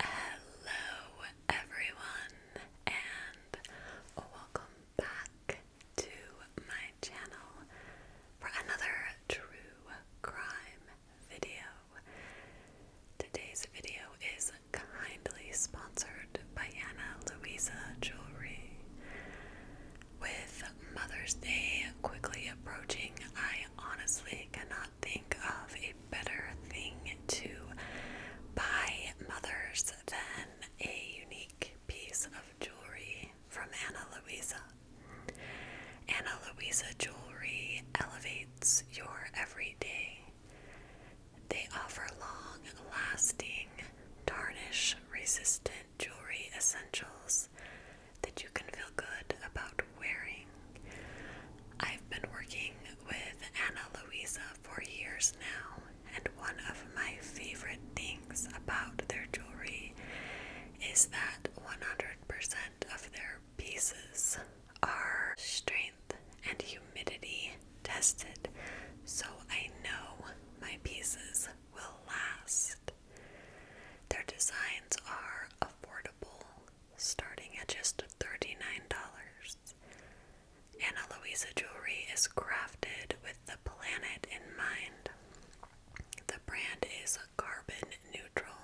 Hello, everyone, and welcome back to my channel for another true crime video. Today's video is kindly sponsored by Anna Louisa Jewelry. With Mother's Day quickly approaching, I honestly cannot think of a better thing to buy mothers than a unique piece of jewelry from Anna Luisa. Anna Luisa jewelry elevates your everyday. They offer long lasting, tarnish resistant jewelry essentials that you can feel good about i wearing. I've been working with Anna Luisa for years now, and one of my favorite things about their jewelry is that 100% of their pieces are strength and humidity tested, so I know my pieces will last. Their designs are affordable starting at just $39. Ana Luisa jewelry is crafted with the planet in mind. The brand is carbon neutral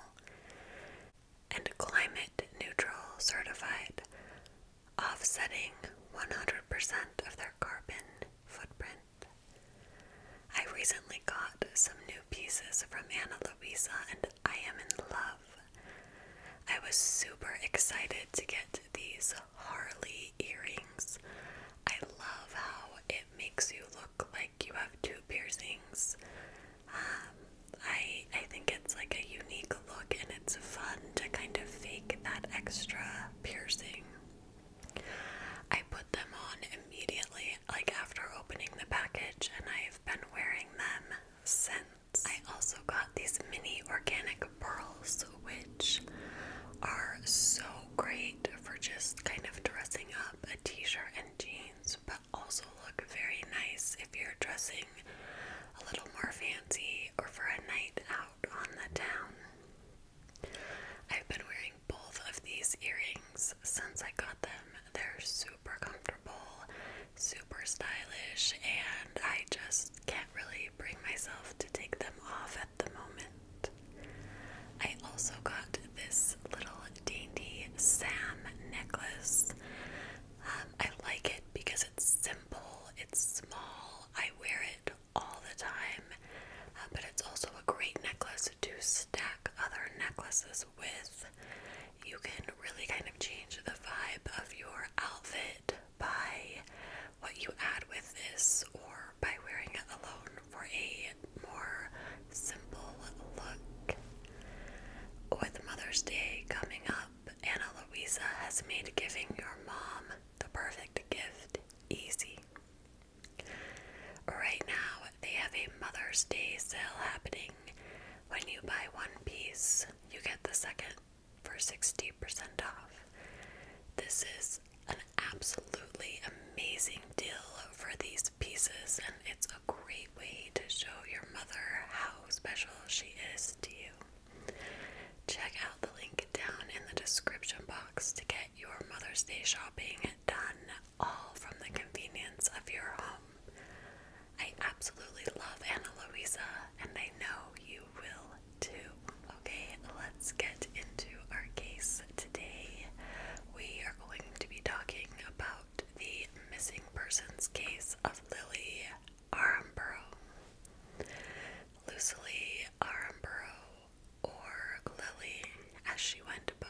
and climate neutral certified, offsetting 100% of their carbon footprint. I recently got some new pieces from Ana Luisa, and I am in love. I was super excited to get these Harley earrings. I love how it makes you look like you have two piercings. Um, I I think it's like a unique look, and it's fun to kind of fake that extra piercing. I put them on immediately, like after opening the package, and I've been wearing them cents. I also got these mini organic pearls, which are so great for just kind of dressing up a t shirt and jeans, but also look very nice if you're dressing a little more fancy or for a night out on the town. I've been wearing both of these earrings since I got them. They're super comfortable, super stylish, and I just can't really bring myself to take them off at the moment. I also got this little dainty Sam necklace. Um, I like it because it's simple, it's small, I wear it all the time, uh, but it's also a great necklace to stack other necklaces with. You can really kind of change the vibe of your outfit by what you add with this or by wearing it alone for a more simple look. With Mother's Day coming up, Anna Luisa has made giving your mom the perfect gift easy. Right now, they have a Mother's Day sale happening when you buy one piece, you get the second for 60% off. This is an absolutely amazing deal for these pieces, and it's a great way to show your mother how special she is to you. Check out the link down in the description box to get your Mother's Day shopping done all from the convenience of your home. I absolutely love Ana Luisa, and I know you will too. Okay, let's get into our case today. We are going to be talking about the missing persons case of Lily Aramborough. Lucily Aramborough, or Lily as she went by,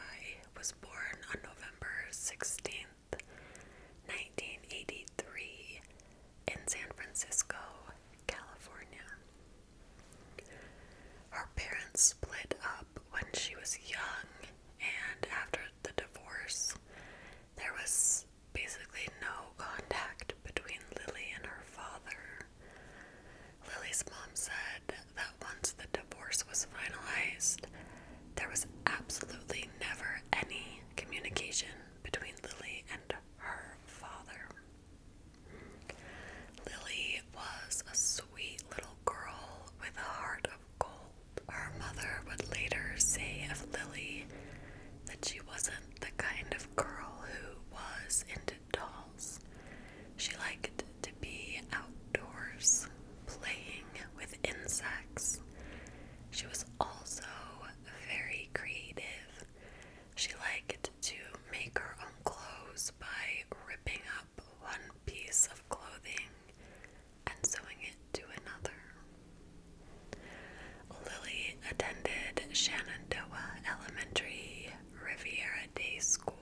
was born on November 16, 1983, in San Francisco, California. Her parents split up when she was young, and after the divorce, there was basically no contact between Lily and her father. Lily's mom said that once the divorce was finalized, there was absolutely never any communication between Lily and her father. Lily was a sweet little girl with a heart of gold. Her mother would later say of Lily that she wasn't the kind of girl who was into dolls. She liked to be outdoors, playing, with insects. She was also very creative. She liked to make her own clothes by ripping up one piece of clothing and sewing it to another. Lily attended Shenandoah Elementary Riviera Day School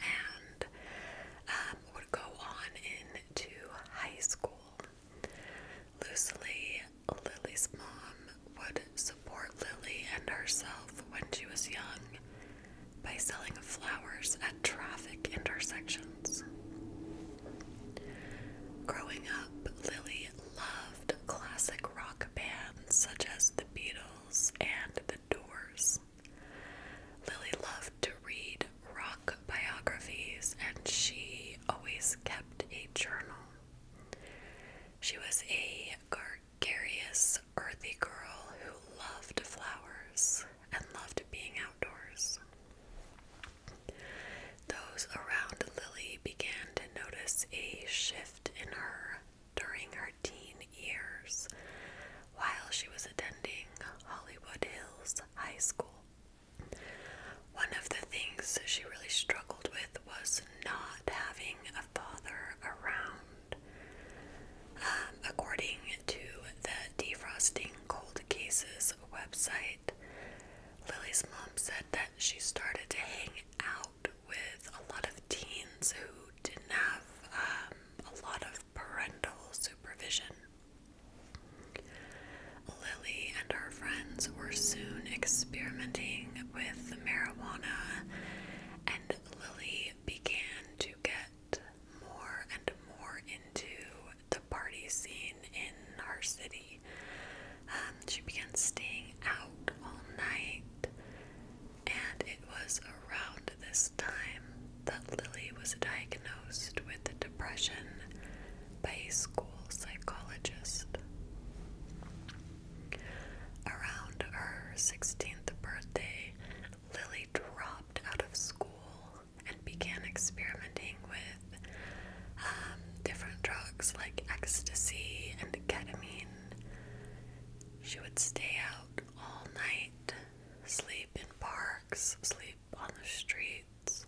and um, would go on into high school. Loosely, Lily's mom would support Lily and herself when she was young by selling flowers at traffic intersections. Growing up, Lily loved classic rock bands such as the Beatles and the Doors. Lily loved to read rock biographies and she always kept a journal. She was a gregarious, earthy girl who loved flowers and loved being outdoors. Those around Lily began to notice a shift in her during her teen years, while she was attending Hollywood Hills High School. One of the things she really struggled with was not having a father around. Um, according to the Defrosting Cold Cases website, Lily's mom said that she started to hang out with a lot of teens who didn't have um, a lot of parental supervision. Lily and her friends were soon experimenting with marijuana, and Lily began to get more and more into the party scene in our city. Um, she began staying out all night, and it was around this time that Lily was diagnosed with depression by a school psychologist. Around her 16th birthday, Lily dropped out of school and began experimenting with um, different drugs like ecstasy and ketamine. She would stay out all night, sleep in parks, sleep on the streets,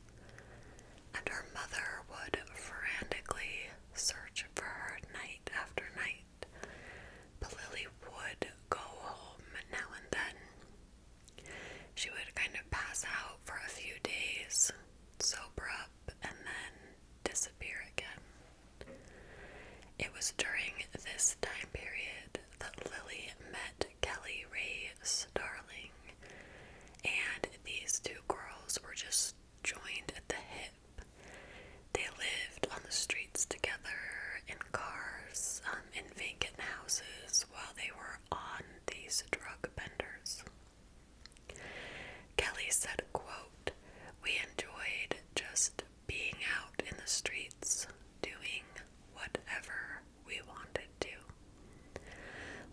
and her mother would frantically search for her night after night. But Lily would go home now and then. She would kind of pass out for a few days, sober up, and then disappear again. It was during this time period that Lily met Kelly Ray darling, and these two girls were just joined at the hip. They lived on the streets together in cars, um, in vacant houses, while they were on these drug benders. Kelly said, quote, We enjoyed just being out in the streets, doing whatever we wanted to.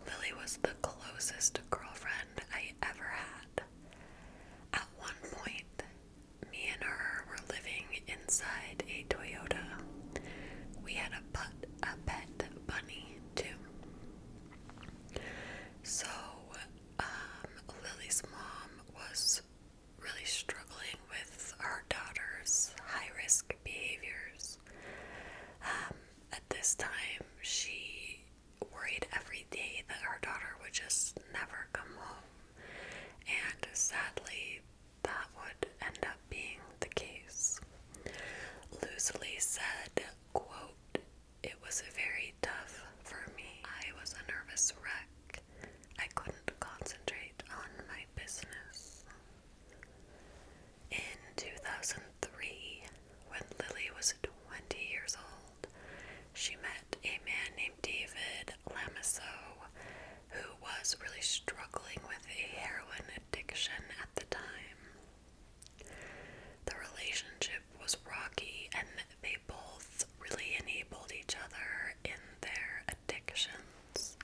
Lily was the closest girlfriend I ever had. At one point, me and her were living inside a Toyota. We had a put a pet bunny too. So um Lily's mom was really struggling with our daughter's high risk behaviors. Um, at this time, she worried every day that our daughter would just never come home, and sadly, that would end up being the case. Loosely said, quote, it was very tough for me. I was a nervous wreck. I couldn't concentrate on my business. In 2003, when Lily was 20 years old, she met a man named David Lamassow, who was really struggling with a heroin addiction at the time. The relationship was rocky, and they both really enabled each other in their addictions.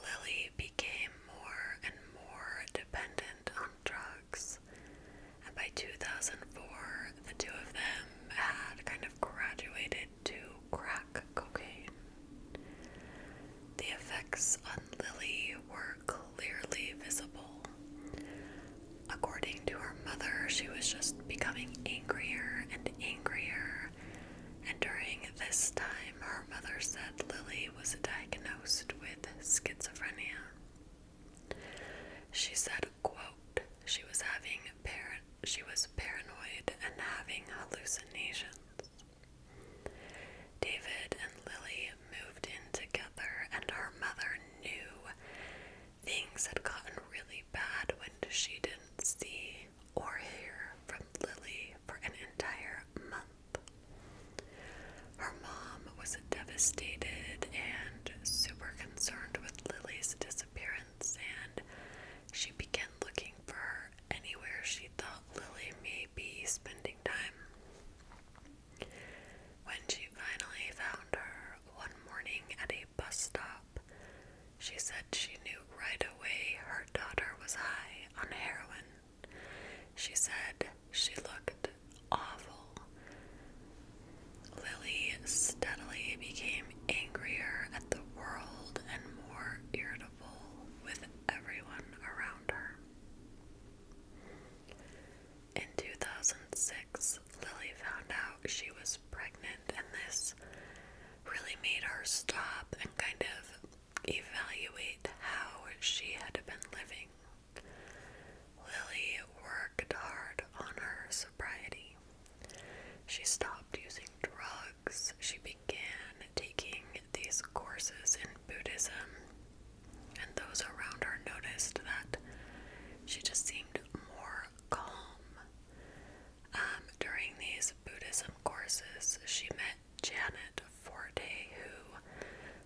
Lily became more and more dependent on drugs, and by 2004, the two of them had kind of graduated to crack cocaine. The effects on Lily were clearly visible. According to her mother, she was just becoming angrier and angrier and during this time, her mother said Lily was diagnosed with schizophrenia. She said, quote, she was having par she was paranoid and having hallucinations. David and Lily moved in together, and her mother knew things had gotten really bad when she didn't see or hear from Lily for an entire month. Her mom was devastated and super concerned with Lily's disappearance, and she began looking for her anywhere she thought Lily may be spending time. When she finally found her one morning at a bus stop, she said she knew right away her daughter was high on heroin. She said she looked awful. Lily steadily became angrier at the world and more irritable with everyone around her. In 2006, Lily found out she was pregnant, and this really made her stop and kind of evaluate how she had been living. Lily worked hard on her sobriety. She stopped using drugs. She began taking these courses in Buddhism, and those around her noticed that she just seemed more calm. Um, during these Buddhism courses, she met Janet Forte, who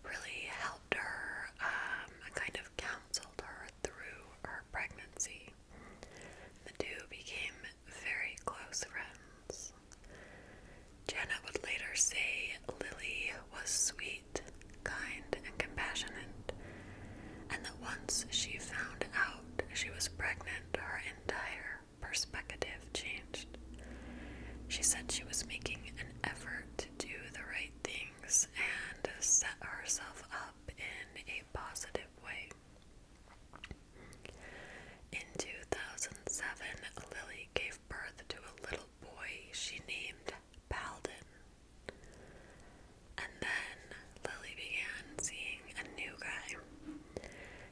really helped her um, kind of counseled her through her pregnancy. The two became very close friends. Janet would later say Lily was sweet, kind, and compassionate, and that once she found out she was pregnant, her entire perspective changed. She said she was making an effort to do the right things and set herself up in a positive way. In 2007, Lily gave birth to a little boy she named Paladin. And then Lily began seeing a new guy.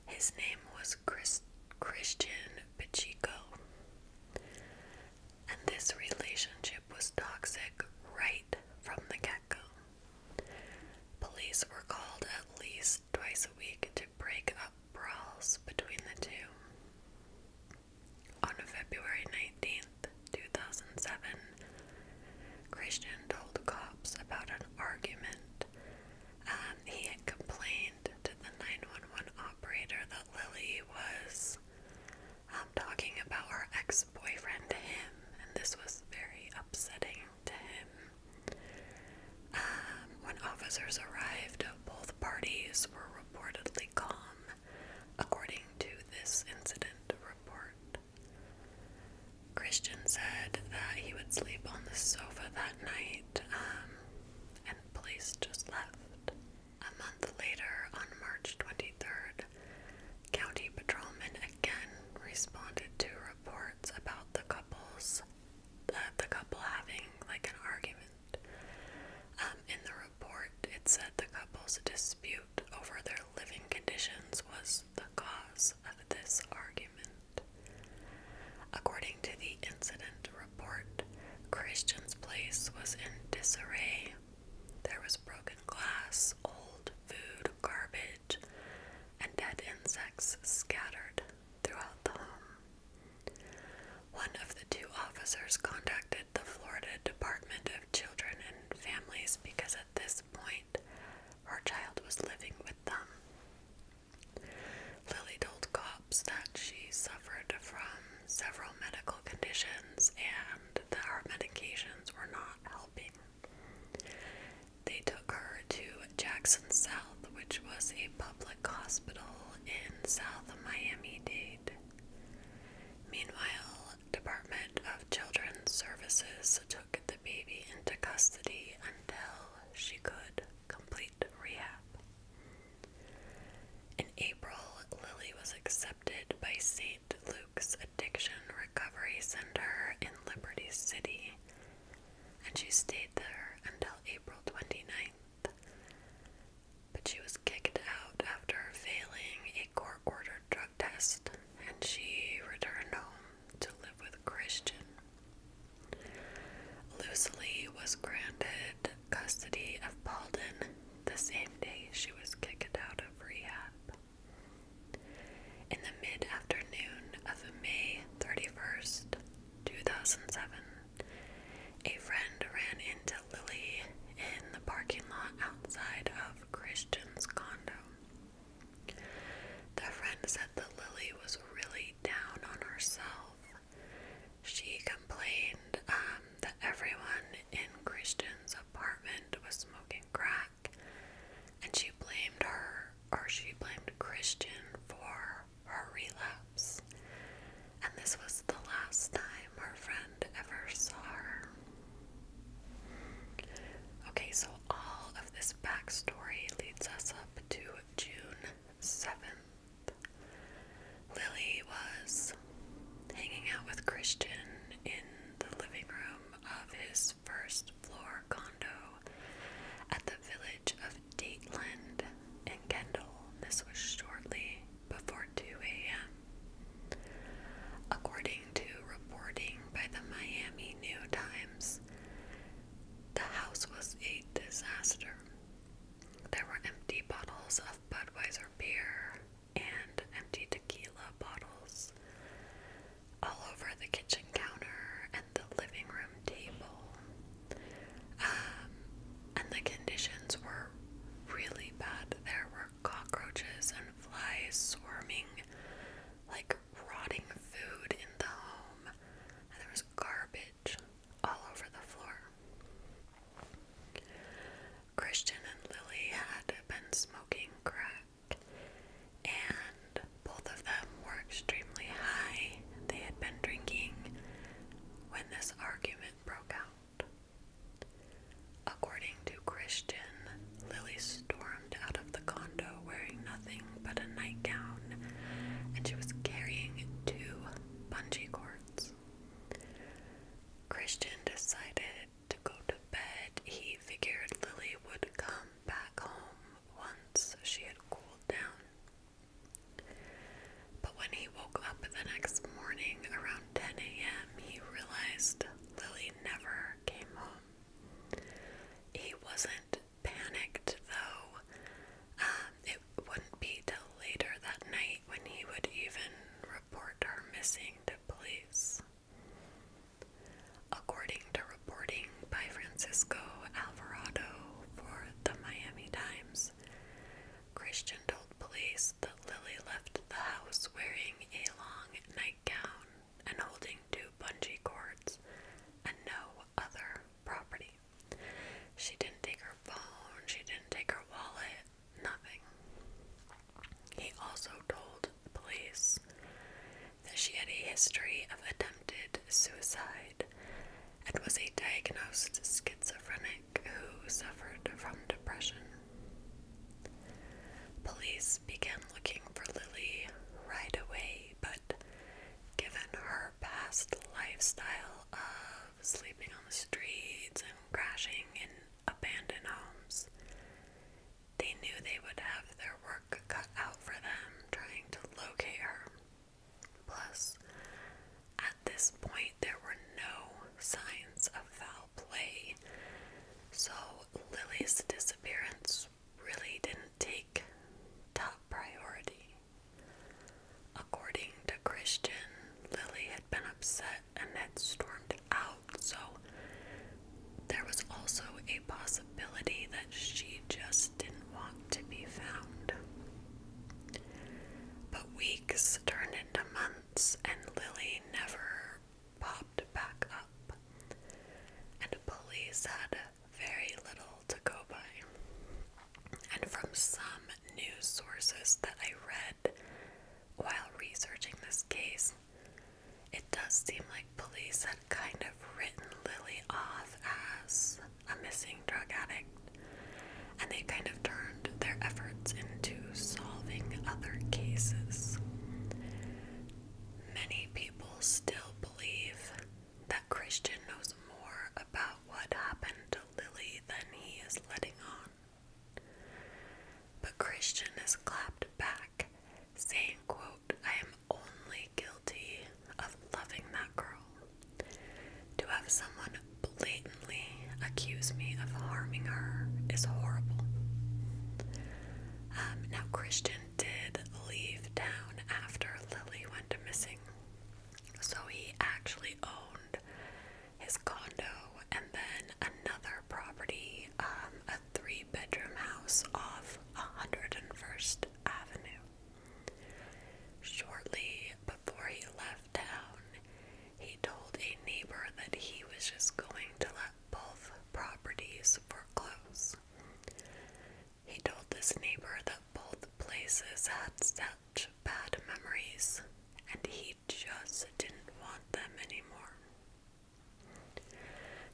His name was Chris Christian Pacheco. And this relationship was toxic right from the get go. Police were called at least twice a week to break up brawls between the two. On February 19th, 2007, Christian told cops about an argument um, he had complained to the 911 operator that Lily was um, talking about her ex boyfriend to him, and this was very upsetting to him. Um, when officers arrived, both parties were reportedly calm, according to this incident report. Christian said that he would sleep on the sofa that night, um, and the police just left. A month later, on March 23rd, county patrolmen again responded to reports about the couple's uh, the couple having like an argument. Um, in the report, it said the couple's dispute over their living conditions was the cause of this argument. According to the incident report, Christian's place was in disarray. There was broken glass, old food, garbage, and dead insects scattered throughout the home. One of the two officers contacted the Florida Department of Children and Families because at this point, her child was living with them. Lily told cops that she suffered from several medical conditions and that her medications were not helping. They took her to Jackson South, which was a public hospital in South Miami Dade. Meanwhile, Department of Children's Services took the baby into custody until she could complete rehab. In April, Lily was accepted by St. Luke's Addiction Recovery Center in Liberty City, and she stayed there until April 29th. But she was kicked out after failing a court ordered drug test, and she returned home to live with Christian. Lucily was granted custody of Paulden the same day she was kicked out of rehab. In the mid afternoon of May 31st, 2007, a friend ran into Lily in the parking lot outside of Christian's condo. The friend said that Lily was really down on herself. She complained um, that everyone in Christian's apartment was smoking crack, and she blamed her, or she blamed Christian for her relapse. And this was the last time her friend ever saw her. Okay, so all of this backstory leads us up to June 7th. Lily was hanging out with Christian in the living room of his first floor condo at the village of Dateland in Kendall. This was shortly before 2 a.m. According to reporting by the Miami New Times, the house was a disaster. There were empty bottles of Budweiser beer and empty tequila bottles all over the kitchen counter and the living room table. Um, and the conditions were really bad. There were cockroaches and flies swarming like rotting food in the home, and there was garbage all over the floor. Christian and Lily had been smoking crack, and both of them were extremely high. They had been drinking when this argument broke out. According to Christian, Lily stormed out of the condo wearing nothing but a nightgown, and she was carrying two bungee cords. Christian decided to go to bed. He figured Lily would come back home once she had cooled down. But when he woke up the next morning around 10 a.m., he realized Lily never came home. He wasn't panicked though. Um, it wouldn't be till later that night when he would even report her missing to police. According to reporting by Francisco Alvarado for the Miami Times, Christian told police that Lily left the house wearing a long nightgown and holding two bungee cords and no other property. She didn't take her phone, she didn't take her wallet, nothing. He also told police that she had a history of attempted suicide and was a diagnosed schizophrenic who suffered from depression. Police began looking for Lily right away but given her past lifestyle of sleeping on the streets and crashing in abandoned homes, they knew they would have their work cut out for them trying to locate her. Plus, at this point, there were no signs of foul play, so Lily's disappearance really didn't take top priority. According to Christian, Lily had been upset and had stormed out, so there was also a possibility that she just didn't want to be found. But weeks turned into months, and Lily never popped back up, and police had very little to go by. And from some news sources that I read while researching this case, it does seem like police had kind of written Lily off as a missing drug addict, and they kind of turned their efforts into solving other cases. Many people still believe that Christian knows more about what happened to Lily than he is letting on. But Christian is clapped back, saying, quote, I am only guilty of loving that girl. To have someone blatantly accuse me of harming her is horrible. Um, now, Christian did leave town after Lily went missing. So he actually owned his condo and then another property, um, a three bedroom house off 101st Avenue. Shortly before he left town, he told a neighbor that he was just going to let both properties foreclose. He told his neighbor that both places had such bad memories, and he just didn't want them anymore.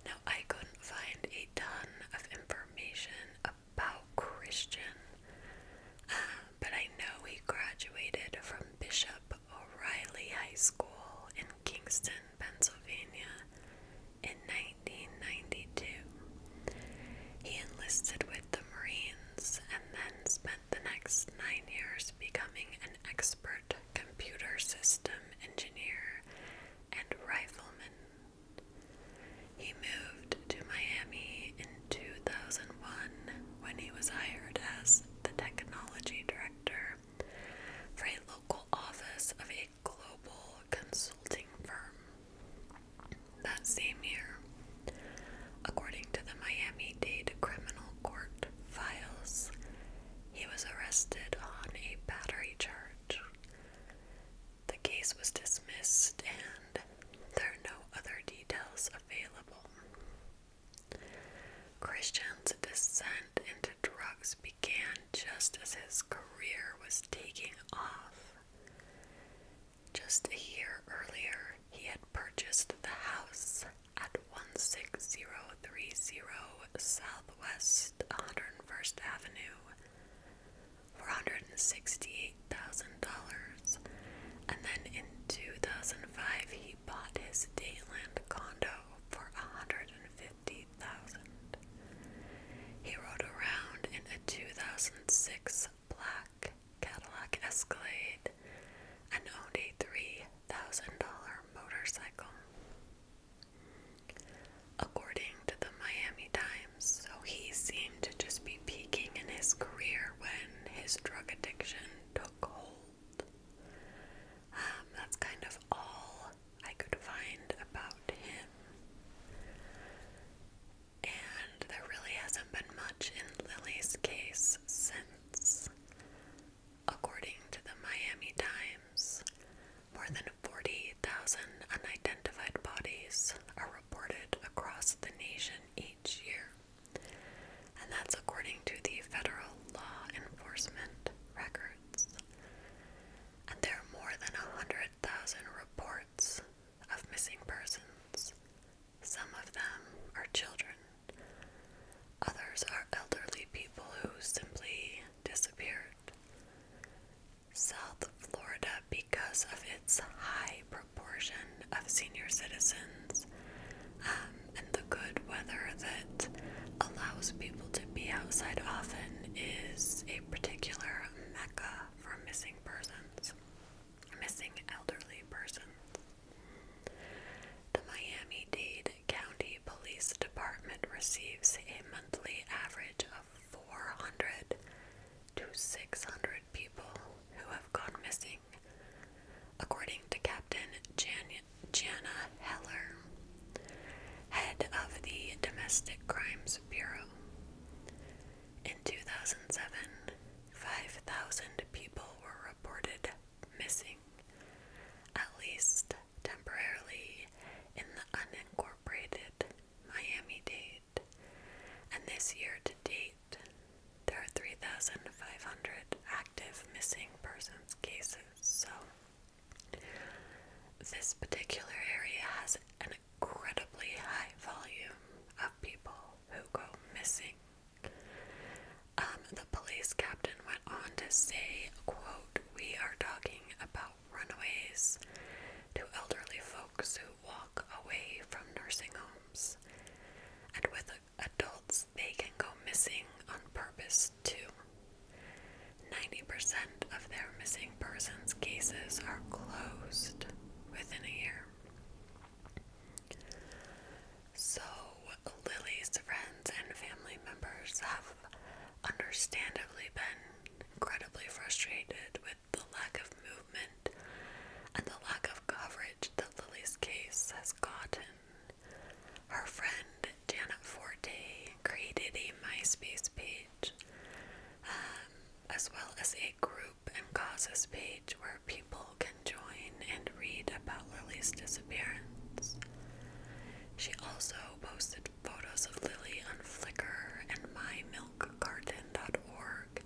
Now, I couldn't find a ton of information about Christian, uh, but I know he graduated from Bishop O'Reilly High School in Kingston, Pennsylvania in 1992. He enlisted with the Marines and then spent the next nine years becoming an expert computer system engineer and rifleman. He moved to Miami in 2001 when he was hired as the technology director for a local office of a global consulting firm. That same year, according to the Miami Dade Criminal Court files, he was arrested on a battery charge. The case was dismissed, and there are no other details available. Christian's descent into drugs began just as his career was taking off. Just a year earlier, he had purchased the house at 16030 Southwest 101st Avenue for $168,000, and then in 2005 he bought his Dayland condo for $150,000. He rode around in a 2006 black Cadillac Escalade and owned a $3,000 motorcycle. According to the Miami Times, so he seemed to just be peaking in his career when his drug addiction took hold. Um, that's kind of all I could find about him. And there really hasn't been much in Lily's case since. According to the Miami Times, more than 40,000 unidentified bodies are reported across the nation each year. And that's according to the federal law enforcement records and there are more than 100,000 reports of missing persons. Some of them are children, others are elderly people who simply disappeared. South Florida, because of its high proportion of senior citizens um, and the good weather that that allows people to be outside often is a particular mecca for missing persons, missing elderly persons. The Miami Dade County Police Department receives a monthly average of 400 to 600 people who have gone missing. According to Captain Jana Heller, head of the Domestic Crimes Bureau. In 2007, 5,000 people were reported missing, at least temporarily, in the unincorporated Miami Dade. And this year to date, there are 3,500 active missing persons cases. So this particular area has an incredibly high volume of people who go missing. Um, the police captain went on to say, quote, we are talking about runaways to elderly folks who walk away from nursing homes. And with adults, they can go missing on purpose worse, 90% of their missing persons cases are closed within a year. So, Lily's friends and family members have understandably been incredibly frustrated with the lack of movement and the lack of coverage that Lily's case has gotten. Her friend Janet Forte created a MySpace page um, as well as a group and causes page where people can join and read about Lily's disappearance. She also posted photos of Lily on Flickr and mymilkgarden.org,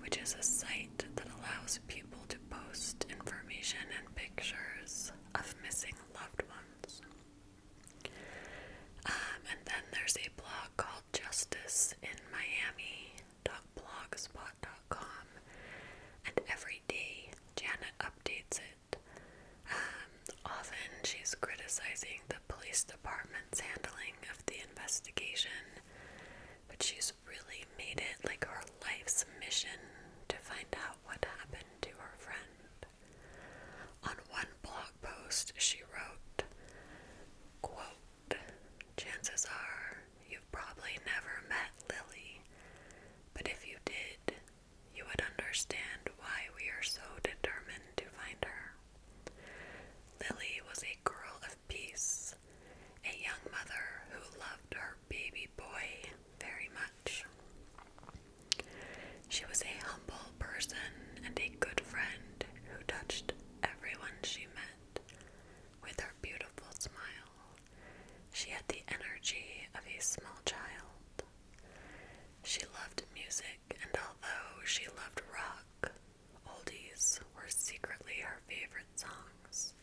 which is a site that allows people to post information and pictures of missing loved ones. Um, and then there's a blog called Justice in Miami blogspot.com and every day Janet updates it. Um, often she's criticizing the police department's handling of the investigation, but she's really made it like her life's mission to find out what happened to her friend. On one blog post, she wrote, Chances are you've probably never met Lily, but if you did, you would understand why we are so determined to find her. Lily was a girl of peace, a young mother who loved her baby boy very much. She was a humble person and a good friend who touched everyone she met with her beautiful smile. She had the energy of a small child. She loved music, and although she loved rock, oldies were secretly her favorite songs.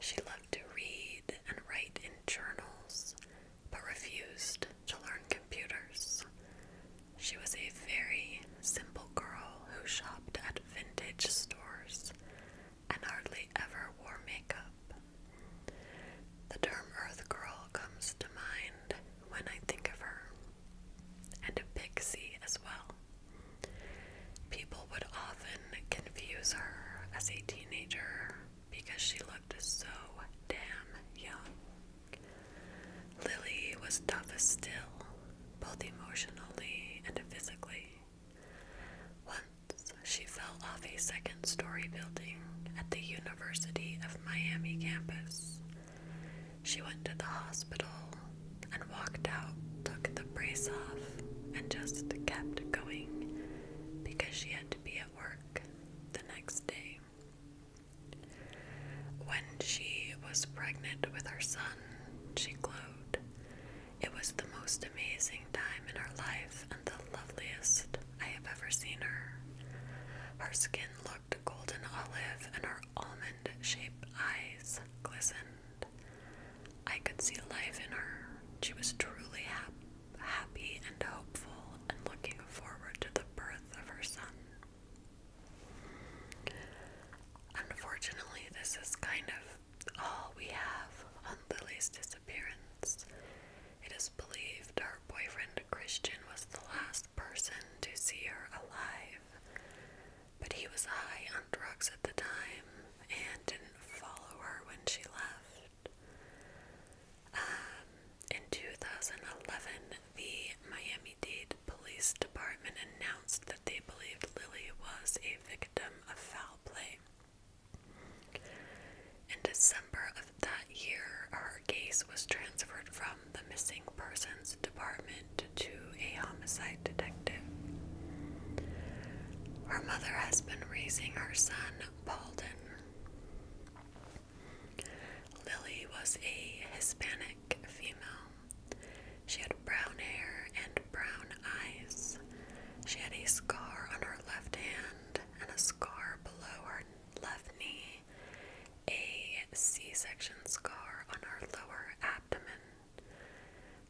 She loved to read and write in journals but refused to learn computers. She was a very simple girl who shopped at vintage stores and hardly ever wore makeup. The term Earth Girl comes to mind when I think of her, and a pixie as well. People would often confuse her as a teenager because she looked so damn young. Lily was toughest still, both emotionally and physically. Once she fell off a second story building at the University of Miami campus. She went to the hospital and walked out, took the brace off, and just kept going because she had to be able work the next day. When she was pregnant with her son, she glowed. It was the most amazing time in her life and the loveliest I have ever seen her. Her skin looked golden olive and her almond shaped eyes glistened. I could see life in her. She was truly happy happy and hopeful and looking forward to the birth of her son. Unfortunately, this is kind of all we have on Lily's disappearance. It is believed her boyfriend Christian was the last person to see her alive, but he was high on drugs at the time and didn't follow her when she left. Um, in 2011, the Miami Dade Police Department announced that they believed Lily was a victim of foul play. In December of that year, her case was transferred from the Missing Persons Department to a homicide detective. Her mother has been raising her son, Paulden. Lily was a Hispanic female. She had brown hair and brown eyes. She had a scar on her left hand and a scar below her left knee, a C section scar on her lower abdomen,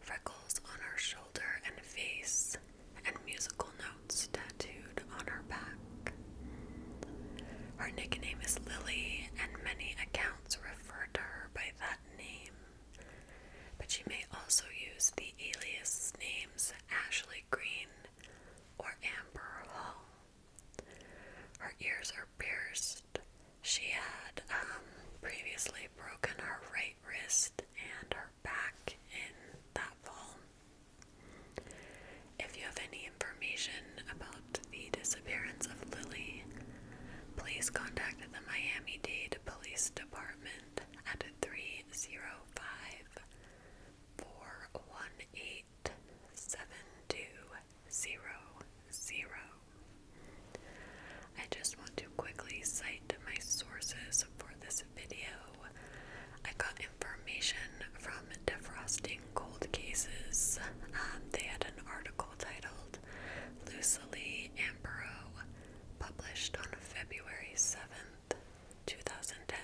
freckles on her shoulder and face, and musical notes tattooed on her back. Her nickname is Lily, and many accounts refer to her by that name. But she may also use the alias names Ashley Green or Amber Hall. Her ears are pierced. She had um, previously broken her right wrist and her back in that fall. If you have any information about the disappearance of Lily, please contact the Miami Dade Police Department at 305 I just want to quickly cite my sources for this video. I got information from Defrosting Cold Cases. Um, they had an article titled "Lucille Ambro, published on February 7th, 2010.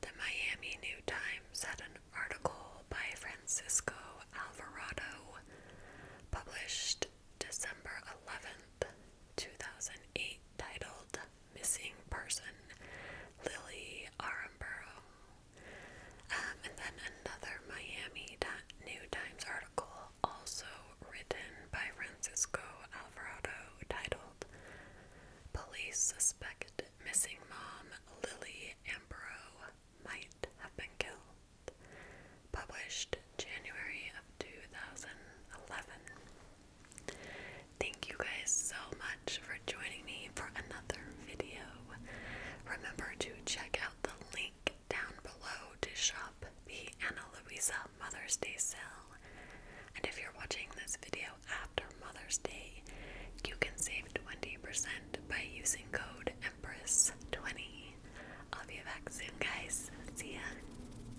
The Miami New Times had an article by Francisco Alvarado, published December 11th, 2008, titled missing person, Lily Armborough. Um, and then another Miami New Times article, also written by Francisco Alvarado, titled Police Suspect Missing Mom Lily Ambrose Might Have Been Killed, published January of 2011. Thank you guys so much for joining me for another video. Remember to check out the link down below to shop the Ana Luisa Mother's Day sale. And if you're watching this video after Mother's Day, you can save 20% by using code EMPRESS20. I'll be back soon, guys. See ya.